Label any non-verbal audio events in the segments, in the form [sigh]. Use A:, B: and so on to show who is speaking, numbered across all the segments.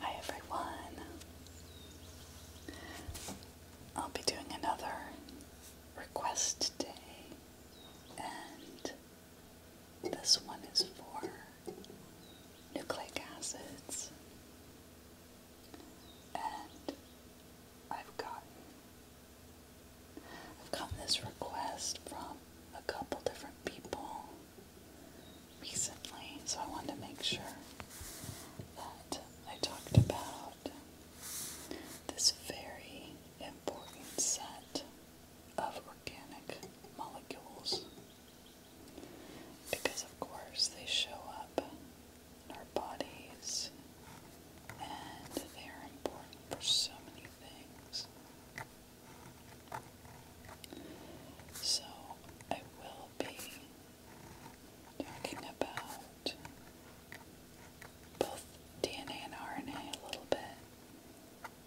A: Hi everyone. I'll be doing another request today, and this one is for nucleic acids. And I've gotten I've gotten this request from a couple different people recently, so I wanted to make sure that I talked about this very important set of organic molecules because, of course, they show up in our bodies and they are important for so many things. So I will be talking about both DNA and RNA a little bit,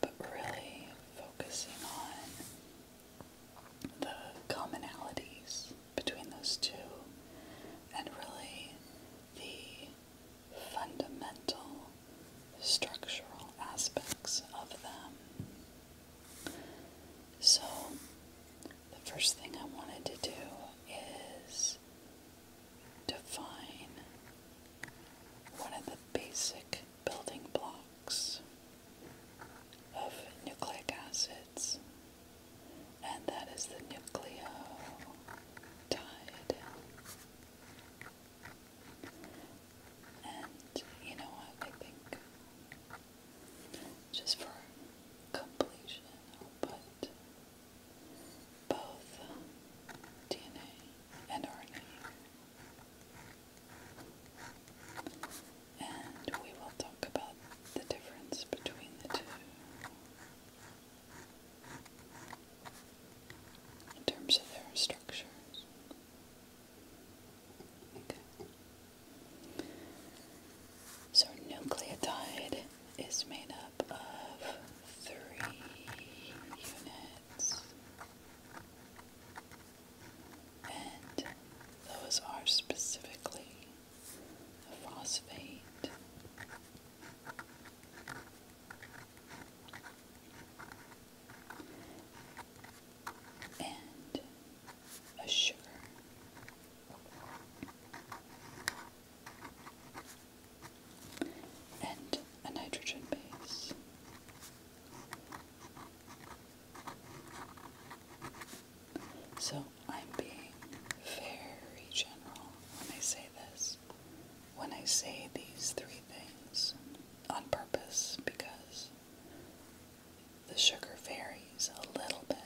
A: but really focusing on the commonalities between those two and really the fundamental structural aspects of them. So, the first thing I wanted to do is define one of the basic building blocks of nucleic acids, and that is the nucleotide. And you know what? I think just for completion, I'll put both DNA and RNA. And we will talk about the difference between the two in terms of their structures. So nucleotide is made up of three units, and those are specifically a phosphate, and a sugar. And a nitrogen base. So I'm being very general when I say this, when I say these three things on purpose because the sugar varies a little bit,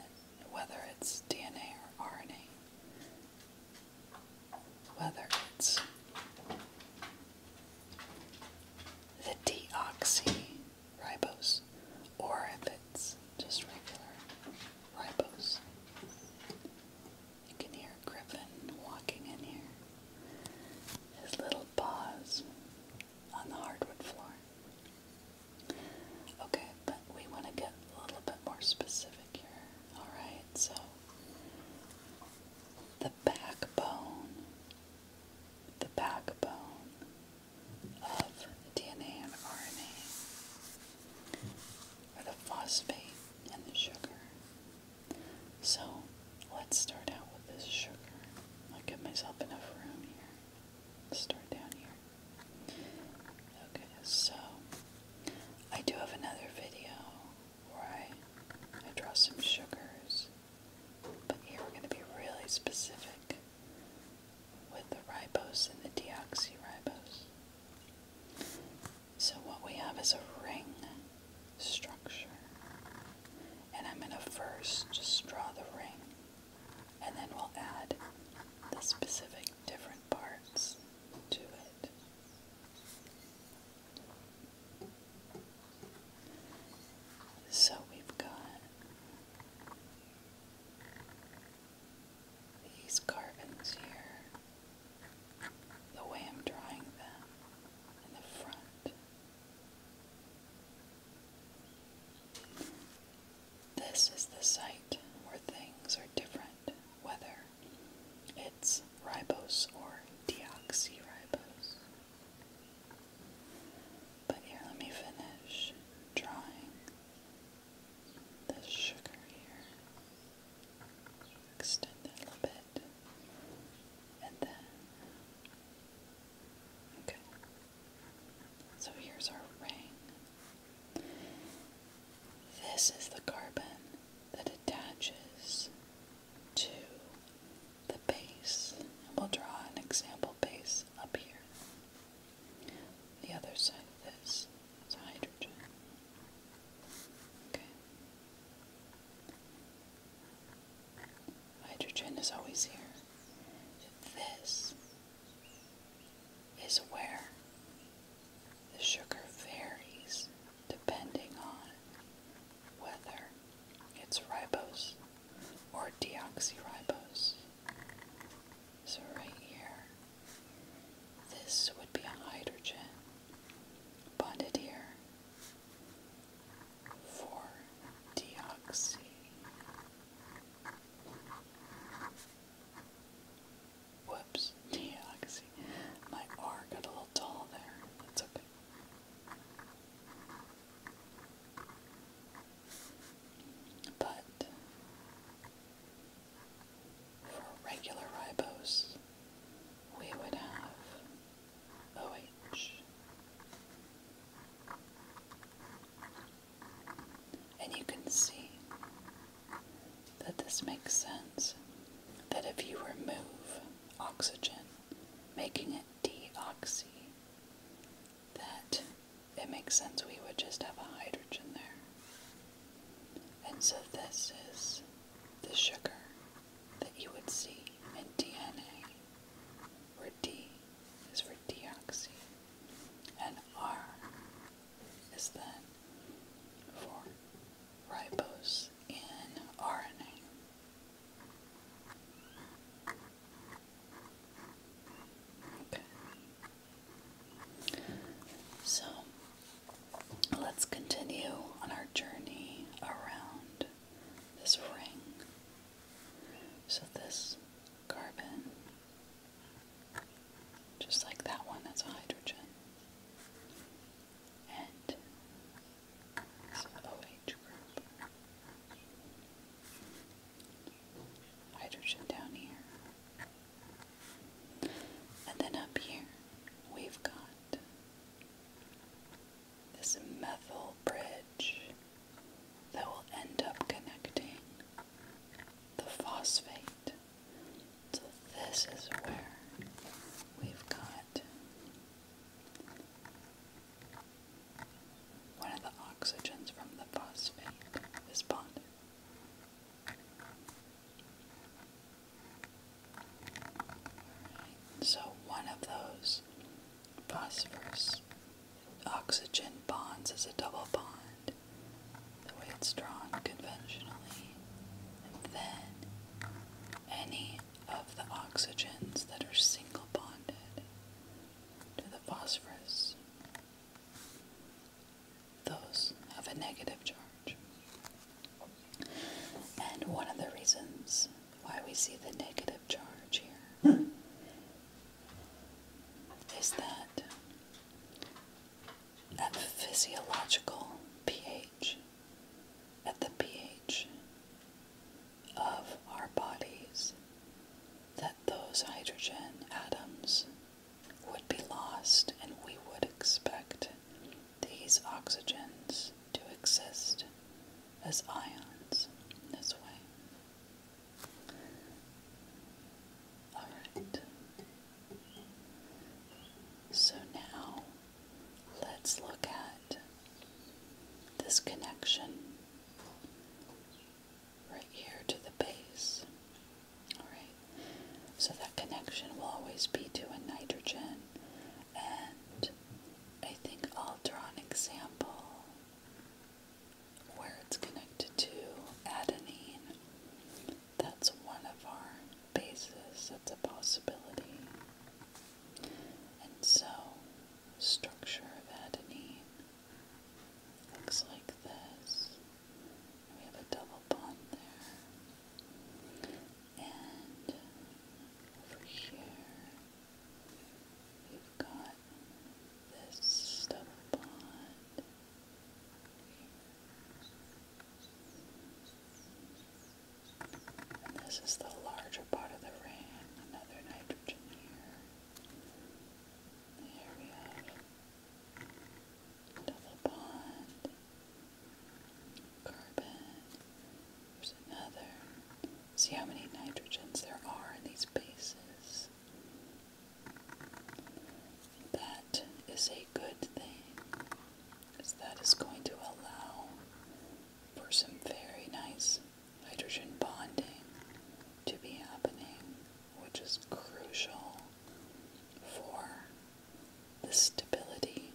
A: whether it's DNA or RNA, whether it's the deoxyribose or if it's just regular ribose. You can hear Griffin walking in here his little paws on the hardwood floor. Okay, but we want to get a little bit more specific here. Alright, so the backbone, the backbone of DNA and RNA are the phosphate and the sugar. So let's start out with this sugar. I'll give myself enough room here. start down here. Okay, so I do have another video where I, I draw some sugars, but here we're going to be really specific with the ribose and the deoxyribose. So what we have is a ring structure. And I'm going to first just draw the ring and then we'll add the specific different parts to it. So we've got these carbons here, the way I'm drawing them in the front. This is the site where things are different, whether it's ribose or deoxyribose. But here, let me finish drawing the sugar here. Extend it a little bit and then okay. So here's our ring. This is the carbon that attaches to the base. And we'll draw an example base up here. The other side of this is hydrogen. Okay. Hydrogen is always here. This is where the sugar varies depending on whether it's ribose or deoxyribose. So right here, this would be a hydrogen bonded here for deoxy. Whoops, deoxy. My R got a little tall there. That's okay. But for regular ribose, we would have OH. And you can see that this makes sense. That if you remove oxygen, making it deoxy, that it makes sense we would just have a hydrogen there. And so this is the sugar that you would see in DNA, where D is for deoxy, and R is then for ribose in RNA. Okay. So let's continue on our journey around this ring. So this carbon, just like that one, that's hydrogen. And it's OH group. Hydrogen down here. And then up here, we've got this methyl bridge that will end up connecting the phosphate. So, this is where we've got one of the oxygens from the phosphate is bonded so one of those phosphorus oxygen bonds is a double bond, the way it's drawn conventionally. then any of the oxygens that are single bonded to the phosphorus, those have a negative charge. And one of the reasons why we see the negative charge here is that at physiological pH, at the pH of our bodies, that those hydrogen atoms would be lost and we would expect these oxygens do exist as ions this way. Alright. So now let's look at this connection right here to the base. Alright. So that connection will always be to a nitrogen and I think I'll draw an example where it's connected to adenine. That's one of our bases, that's a possibility. And so, structure of adenine looks like this. We have a double bond there. And over here, we've got this stubble pond. this is the larger part of the ring, another nitrogen here. There we have double bond carbon. There's another. See how many nitrogens there are in these bases. That is a good thing, because that is going to allow for some very nice hydrogen bonding to be happening, which is crucial for the stability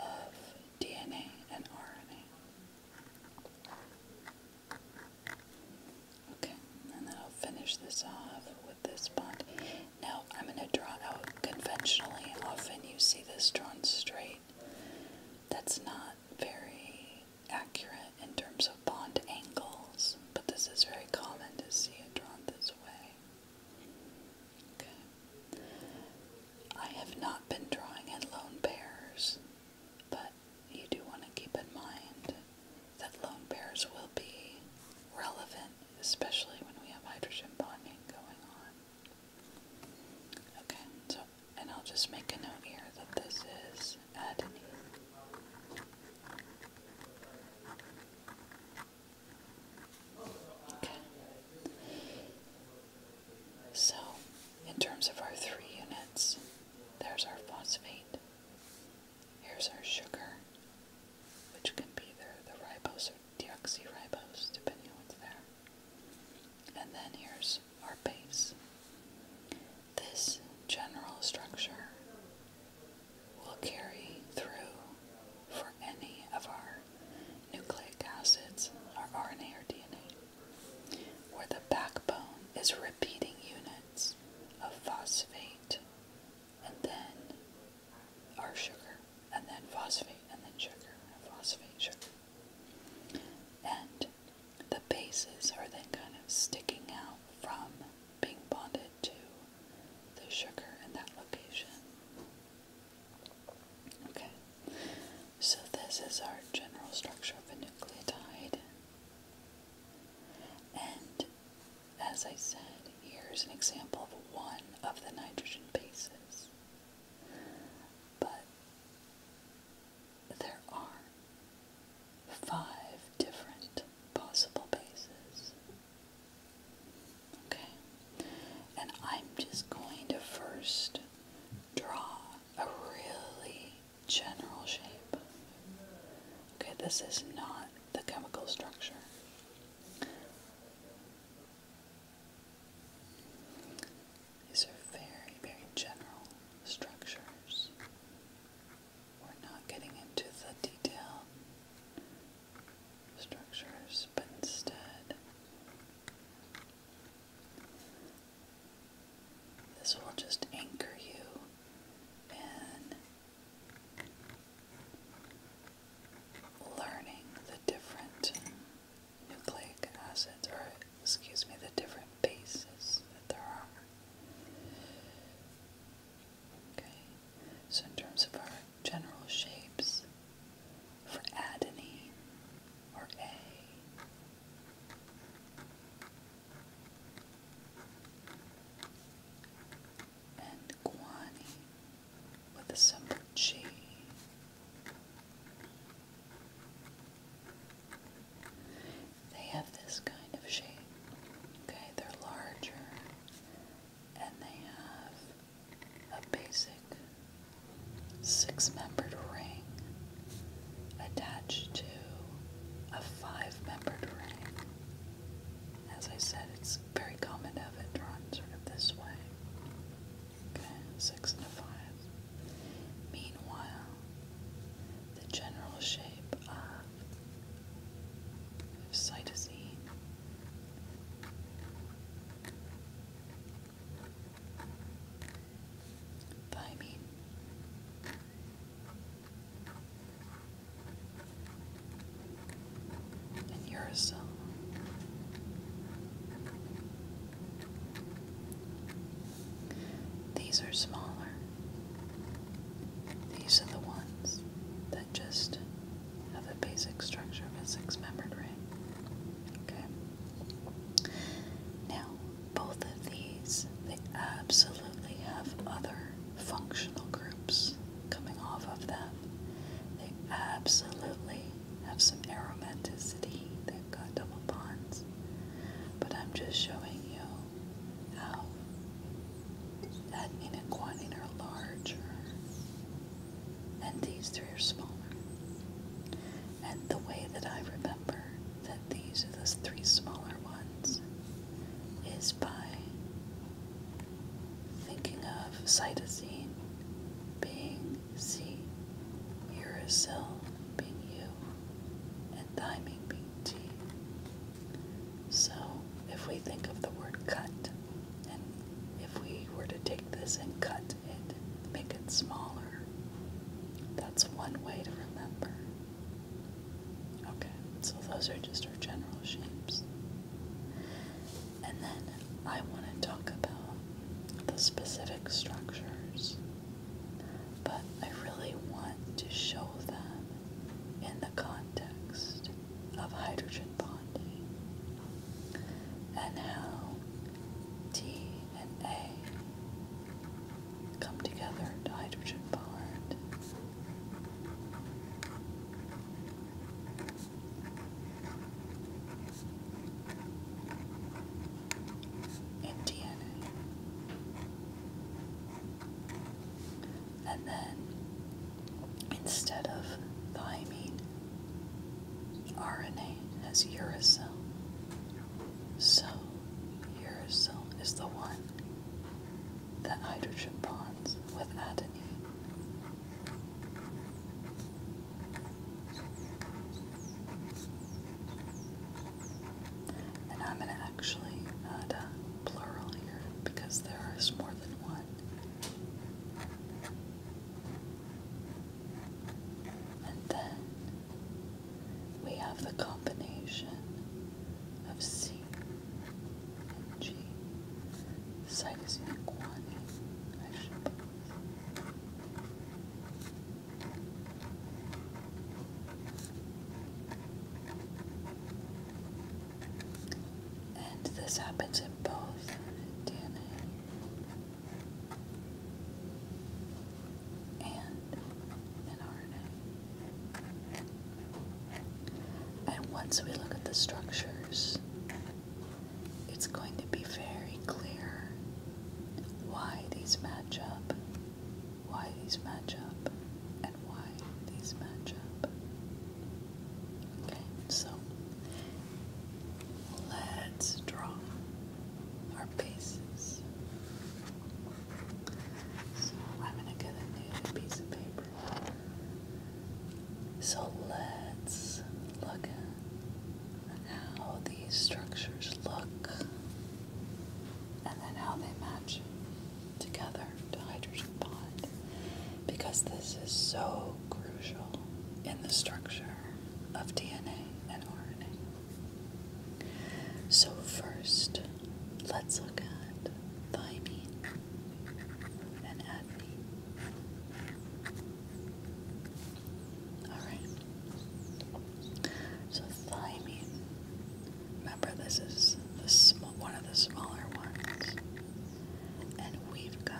A: of DNA and RNA. Okay, and then I'll finish this off with this bond. Now I'm going to draw out conventionally. Often you see this drawn straight. That's not very accurate in terms of bond angles, but this is very common to see it drawn this way. I have not been drawing at lone pairs, but you do want to keep in mind that lone pairs will be relevant, especially when we have hydrogen bonding going on. Okay, so, and I'll just make a note here that this is adenine. So, in terms of our three units, there's our phosphate. Here's our sugar, which can be either the ribose or deoxyribose, depending on what's there. And then here's our base. This general structure will carry through for any of our nucleic acids, are RNA or DNA, where the backbone is repeating units of phosphate and then our sugar, and then phosphate, and then sugar, and phosphate, sugar. And the bases are then kind of sticking out from being bonded to the sugar in that location. Okay, so this is our general structure of a nucleotide. And as I said, here's an example of one of the nitrogen bases. But there are five different possible bases. Okay, and I'm just going to first draw a really general shape. Okay, this is not the chemical structure. These are very, very general structures. We're not getting into the detail structures, but instead, this will just anchor you in learning the different nucleic acids, or excuse me, the different bases that there are. Okay, so in terms of our general shapes for adenine or A. And guanine with the symbol G. They have this kind of shape. Okay, they're larger and they have a basic six membered ring attached to a five membered ring. As I said, it's very common to have it drawn sort of this way. Okay, six and a five. Meanwhile, the general shape of cytosine but I and yourself. These are smaller. These are the ones that just of the basic structure of a six-membered ring. Okay. Now, both of these, they absolutely have other functional groups coming off of them. They absolutely have some aromaticity. They've got double bonds. But I'm just showing you how adenine and guanine are larger and these three are smaller. And the way that I remember that these are the three smaller ones is by thinking of cytosine being C, uracil being U, and thymine being T. So if we think of the word cut and if we were to take this and cut it, make it smaller, that's one way to remember. Okay, so those are just our general shapes. And then I want to talk about the specific structures, but I really want to show them in the context of hydrogen bonding and how T and A come together to hydrogen bond. In DNA. And then instead of thymine. RNA has uracil. So, uracil is the one that hydrogen bonds with adenine. And I'm going to actually add a plural here because there is more than one. And then we have the combination of C and G. Side is equal I and this happens in both DNA and in RNA. And once we look at the structures, it's going to be very clear why these match up, why these match up, and why these match up. Okay, so let's draw our pieces. So I'm gonna get a new piece of paper. So let's look at how these structures look and then how they match together to hydrogen bond because this is so crucial in the structure of DNA and RNA. So, first, let's look at thymine and adenine. Alright, so thymine, remember, this is the sm one of the smaller ones, and we've got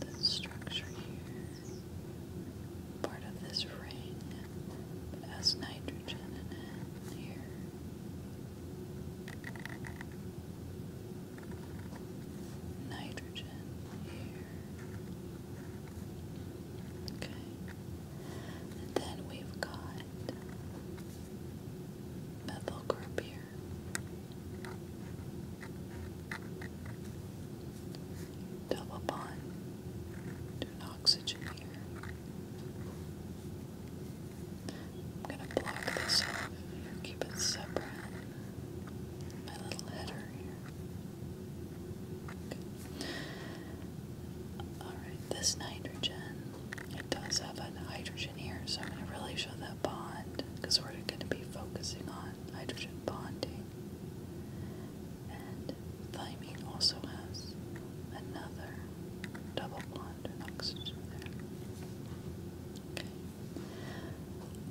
A: this structure here, part of this ring has nitrogen in it here. Nitrogen here. Okay. then we've got methyl group here. Double bond to an oxygen here. I'm going to block this off keep it separate. My little header here. Okay. Alright, this nitrogen, it does have an hydrogen so I'm going to really show that bond because we're going to be focusing on hydrogen bonding. And thymine also has another double bond with oxygen there. Okay.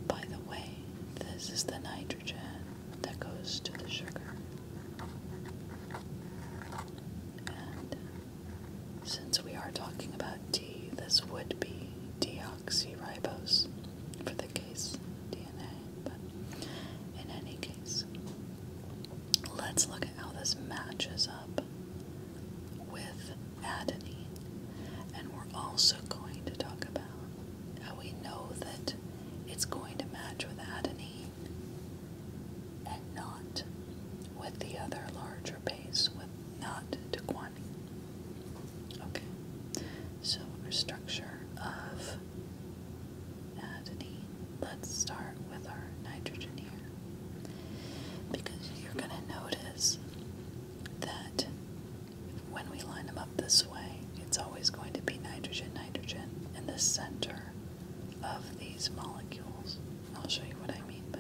A: By the way, this is the nitrogen that goes to the sugar. And since we are talking about D, this would be deoxyribose for the case DNA, but in any case, let's look at how this matches up with adenine. And we're also going to talk about how we know that it's going to match with adenine and not with the other larger base, with not to quantify Okay, so our structure of adenine, let's start with our nitrogen here. Because you're going to notice that when we line them up this way, it's always going to be nitrogen, nitrogen in the center of these molecules. I'll show you what I mean by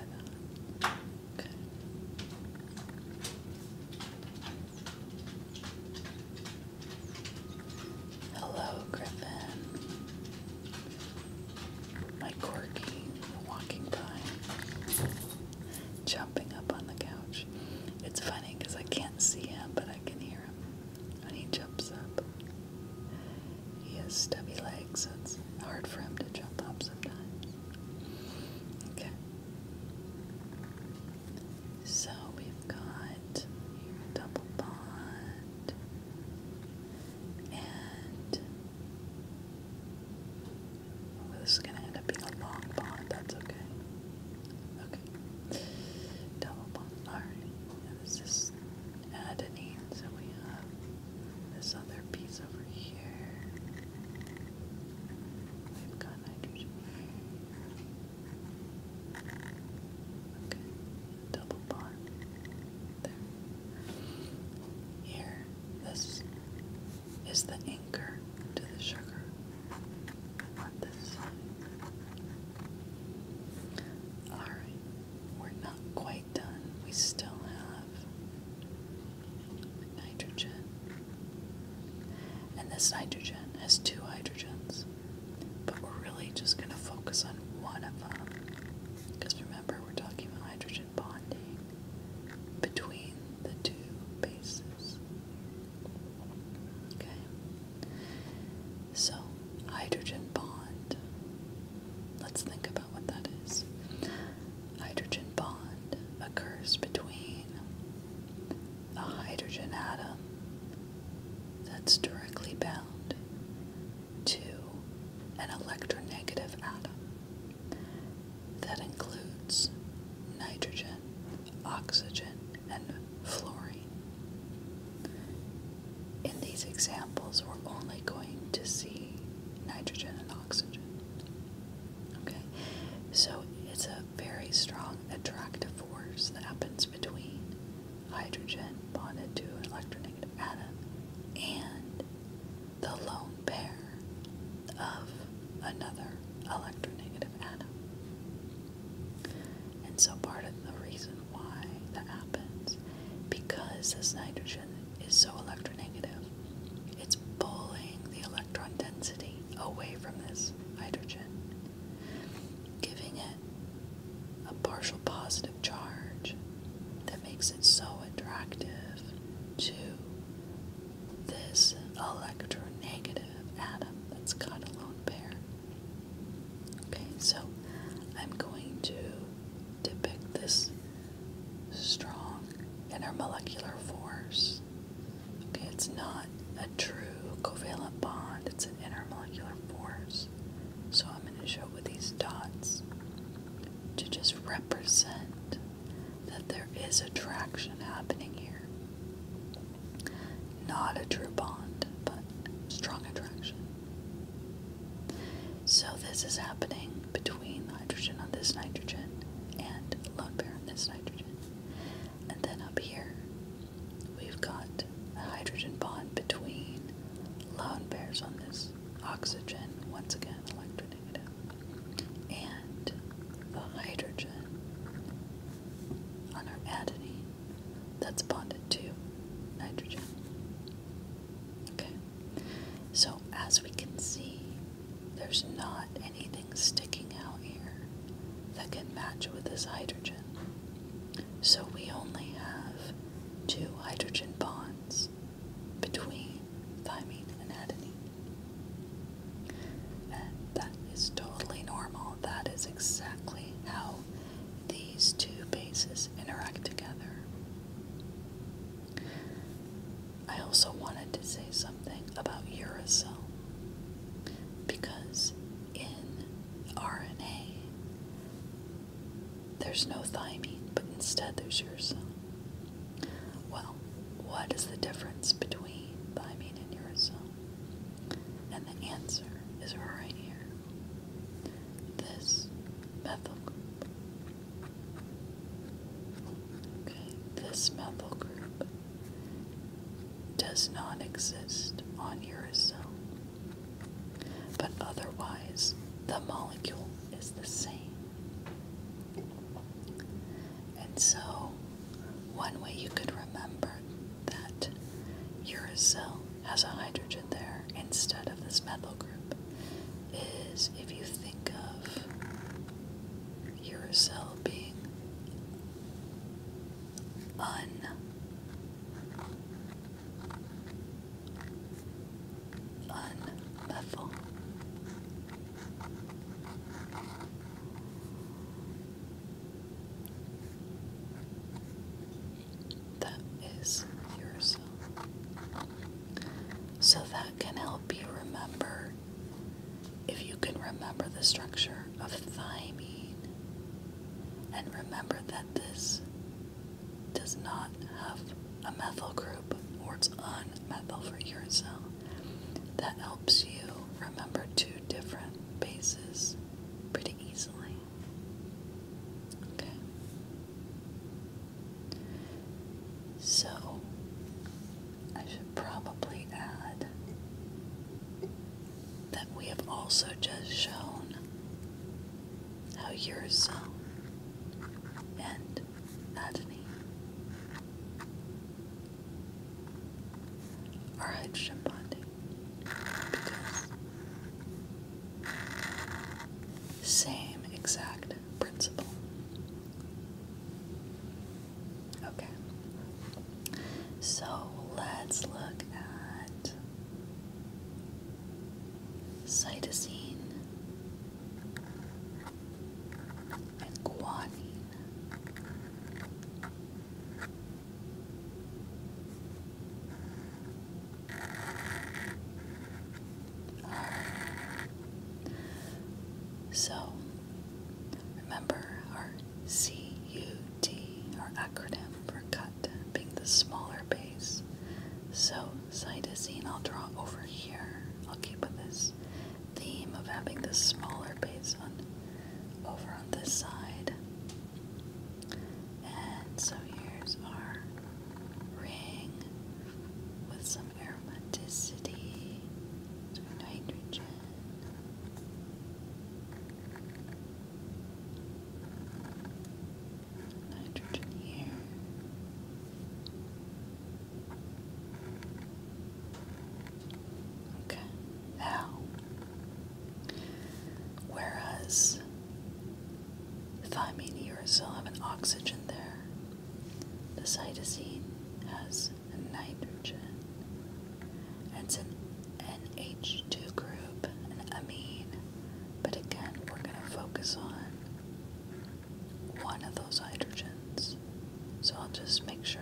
A: that. Hello, Griffin. My corgi walking by, jumping up on the couch. It's funny because I can't see him, but I can hear him when he jumps up. He has stubby legs, so it's hard for him to jump up sometimes. Okay. So we've got double bond and oh, this is gonna end up being a long bond, that's okay. Okay. Double bond. Alright. this is adenine, so we have this other piece over here. I've got nitrogen. Okay, double bond there. Here, this is the anchor to the sugar on this side. Alright, we're not quite done. We still have nitrogen. And this nitrogen has two hydrogens, but we're really just going to focus on one of them. Because remember, we're talking about hydrogen bonding between the two bases. Okay? So, hydrogen bond. Let's think about what that is hydrogen bond occurs between a hydrogen atom that's directly bound to an electronegative atom that includes nitrogen, oxygen, and fluorine. In these examples, we're only going to see nitrogen and oxygen. Okay, so it's a very strong attractive force that happens between hydrogen bonded to an electronegative atom and the lone pair of another electronegative atom. And so part of the reason why that happens because this nitrogen is so electronegative. It's pulling the electron density away from this hydrogen, giving it a partial positive charge that makes it so attractive to this electronegative atom that's got a lone pair. Okay, so I'm going to depict this strong intermolecular force. Okay, it's not a true covalent bond, it's an intermolecular force. So I'm going to show with these dots to just represent that there is attraction happening here. Not a true bond, but strong attraction. So this is happening between between the hydrogen on this nitrogen and lone pair on this nitrogen. And then up here, we've got a hydrogen bond between lone pairs on this oxygen, once again electronegative, and the hydrogen on our adenine that's bonded to nitrogen. Okay, so as we can see, there's not anything sticking out here that can match with this hydrogen. So we only have two hydrogen bonds between thymine and adenine. And that is totally normal. That is exactly how these two bases interact together. I also wanted to say something about uracil because in RNA there's no thymine, but instead there's uracil. Well, what is the difference between thymine and uracil? And the answer is right here. This methyl group Okay, this methyl group does not exist on uracil, but otherwise the molecule is the same. And so, one way you could remember that uracil has a hydrogen there instead of this methyl group is if you think of your cell being un That is yourself. So that can help you remember if you can remember the structure of thymine and remember that this does not have a methyl group or it's unmethyl for yourself, that helps you remember two different bases pretty easily. Okay. So I should probably add that we have also just shown how Eurozone um, and Adney are hydrogen bonding because same exact principle. Okay, so let's look at cytosine and guanine. So, remember our CUT, our acronym for cut, being the smaller base. So, cytosine, I'll draw over here. I'll keep with this theme of having the smaller base on over on this side. And so here's our ring with some aromaticity, sweet hydrogen. Nitrogen here. Okay, now, whereas thymine uracil have an oxygen there, the cytosine has nitrogen. It's an NH2 group, an amine, but again, we're going to focus on one of those hydrogens. So I'll just make sure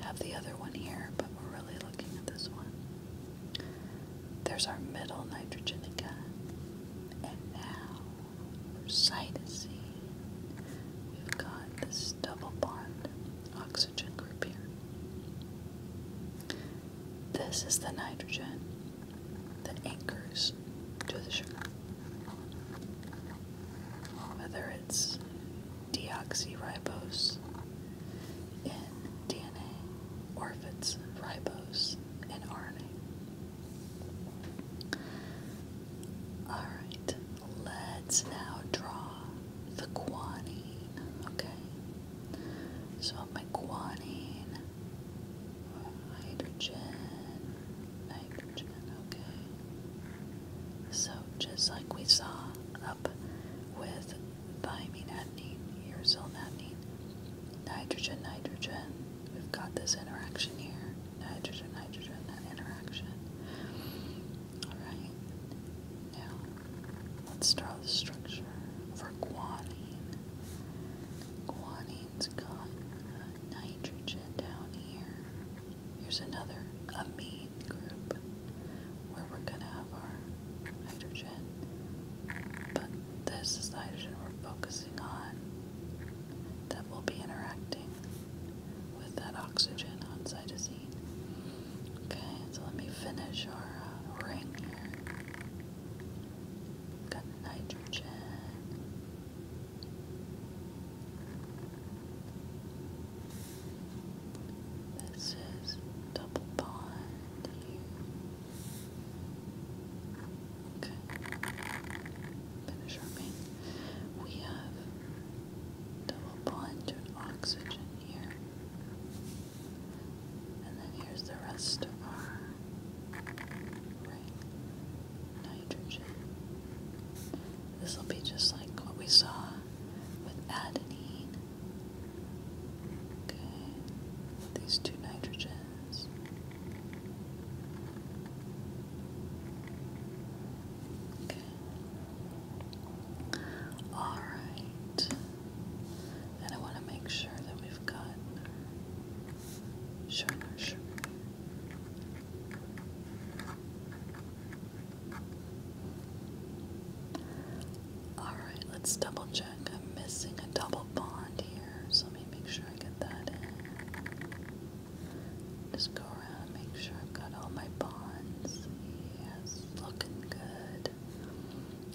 A: I have the other one here, but we're really looking at this one. There's our middle nitrogen again. And now cytosine. We've got this double bond oxygen group here. This is the nitrogen that anchors to the sugar. Whether it's deoxyribose in DNA or if it's ribose in RNA. Alright, let's now draw the guanine, okay? So my guanine, hydrogen, nitrogen, okay? So just like we saw up with thymine, adenine, uracil, adenine, nitrogen, nitrogen, we've got this interaction here nitrogen, nitrogen, that interaction. Alright, now let's draw the structure for guanine. Guanine's got nitrogen down here. Here's another amine group where we're going to have our nitrogen. But this is the hydrogen we're focusing on that will be interacting with that oxygen on cytosine. Okay, so let me finish our uh, ring here. Got nitrogen. This is double bond Okay. Finish our We have double bonded oxygen here. And then here's the rest of our right nitrogen. This will be just like what we saw with adenine. Okay. These two nitrogens. All right. And I want to make sure that we've got sugar, sugar. All right, let's double check. I'm missing a double bond here, so let me make sure I get that in. Just go around, make sure I've got all my bonds. Yes, looking good.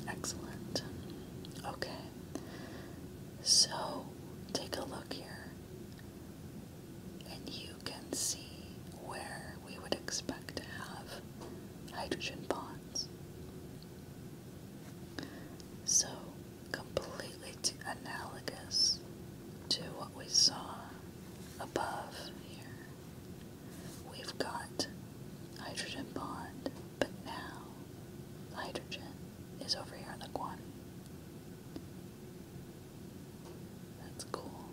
A: Excellent. Okay. So, take a look here. And you can see where we would expect to have hydrogen bonds. So, completely analogous to what we saw above here. We've got hydrogen bond, but now hydrogen is over here on the quantity. That's cool.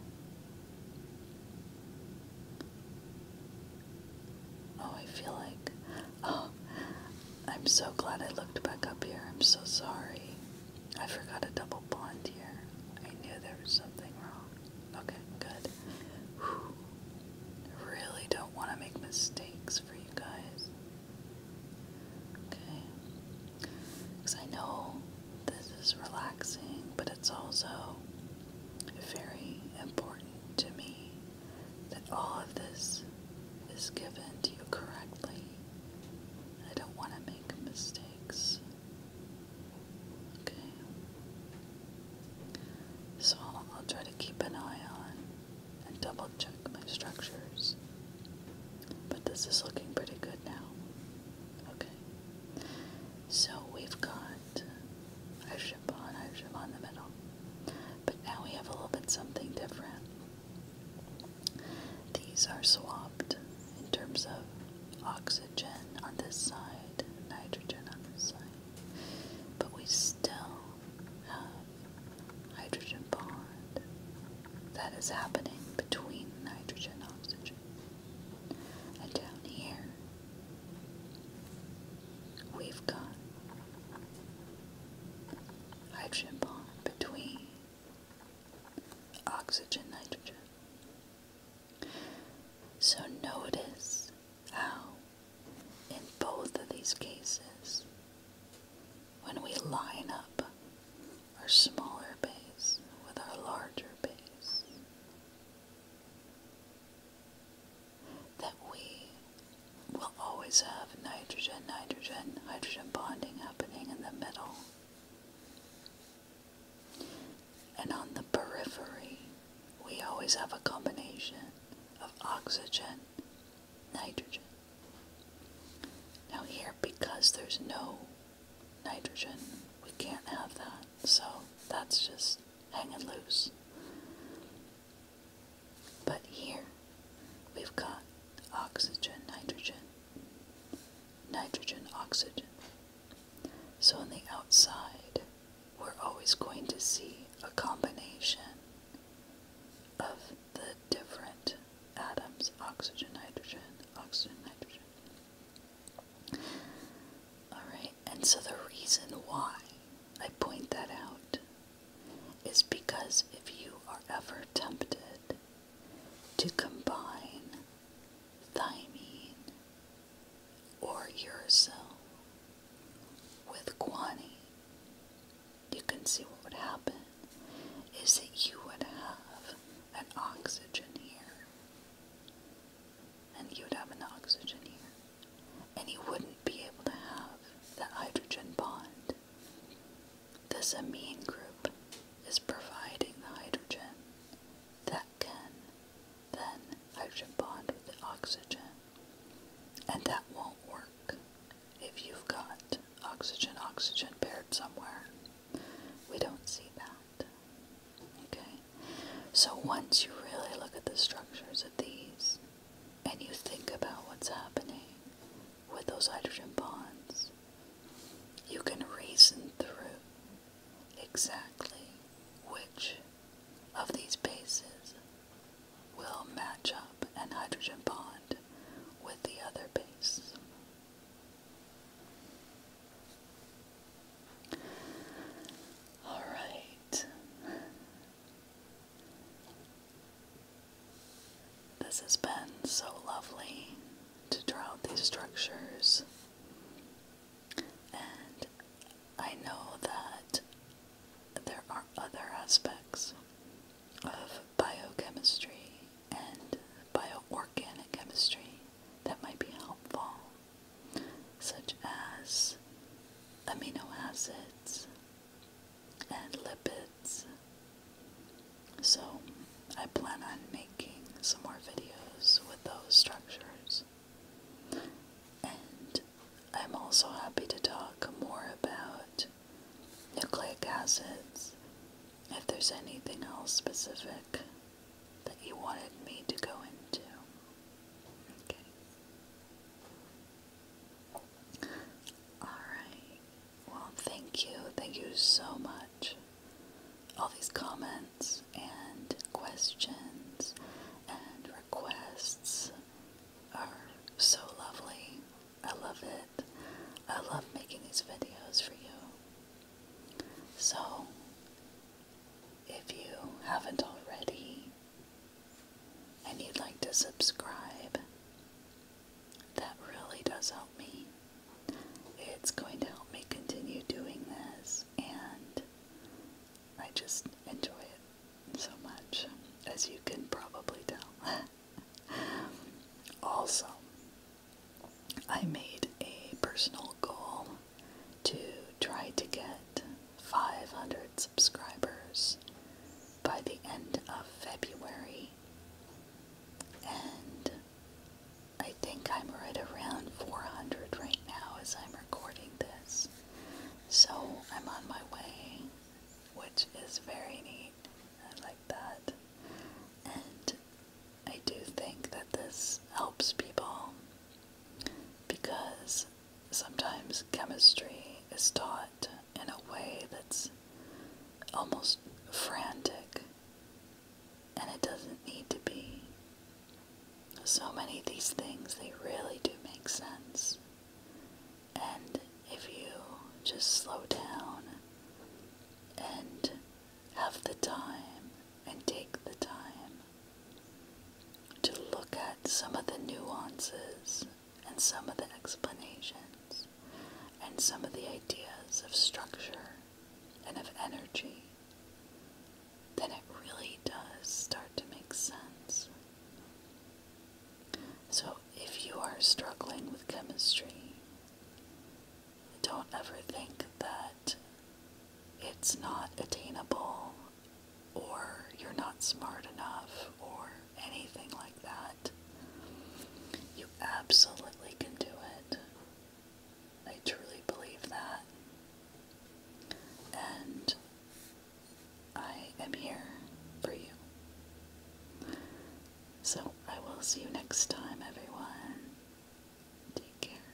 A: Oh, I feel like, oh, I'm so glad I looked back up here. I'm so sorry. I forgot a double bond here. I knew there was something wrong. Okay, good. Whew. [sighs] Really don't want to make mistakes for you guys. Okay. Because I know this is relaxing, but it's also very important to me that all of this is given to you correctly. I don't want to make mistakes. Okay. So I'll, try to keep an eye on and double check my structures. But this is looking pretty good now. Okay. So we've got a ship on, our ship on the middle. But now we have a little bit something different. These are swapped in terms of oxygen on this side, nitrogen on this side, but we still have hydrogen bond that is happening between nitrogen and oxygen. And down here, we've got hydrogen bond between oxygen nitrogen. So notice how in both of these cases when we line up our smaller base with our larger base that we we will always have nitrogen, nitrogen, hydrogen bonding happening in the middle. And on the periphery, we always have a combination of oxygen, nitrogen. Now here, because there's no nitrogen, we can't have that. So that's just hanging loose. But here we've got oxygen, nitrogen, nitrogen, oxygen. So on the outside, we're always going to see a combination of the different atoms oxygen, nitrogen, oxygen, nitrogen. Alright, and so the reason why I point that out is because if you are ever tempted to combine thymine or uracil with guanine, you can see what would happen is that you would have an oxygen here, and you would have an oxygen here, and you wouldn't be able to have that hydrogen bond this amine group is providing the hydrogen that can then hydrogen bond with the oxygen. And that won't work if you've got oxygen oxygen paired somewhere. We don't see that. Okay? So once you really look at the structures of these, and you think about what's happening with those hydrogen bonds, you can reason through exactly which of these bases will match up an hydrogen bond with the other base. Alright, this has been so lovely to draw out these structures, and I know that there are other aspects of biochemistry and bioorganic chemistry that might be helpful, such as amino acids and lipids. So, I plan on making some more videos with those structures. And I'm also happy to talk more about nucleic acids if there's anything else specific that you wanted me to go into. Okay. Alright. Well, thank you. Thank you so much. All these comments and questions and requests are so lovely. I love it. I love making these videos for you. So, if you haven't already, and you'd like to subscribe, that really does help me. It's going to help me continue doing this, and I just enjoy it so much, as you can probably tell. [laughs] also, I made a personal goal to try to get 500 subscribers by the end of February and I think I'm right around 400 right now as I'm recording this. So I'm on my way, which is very neat. I like that. And I do think that this helps people because sometimes chemistry is taught in a way that's almost frantic, and it doesn't need to be. So many of these things, they really do make sense. And if you just slow down and have the time and take the time to look at some of the nuances and some of the explanations and some of the ideas of structure and of energy, then it really does start to make sense. So if you are struggling with chemistry, don't ever think that it's not attainable or you're not smart enough or anything like that. You absolutely can do it. I truly believe that. And I am here for you. So I will see you next time, everyone. Take care.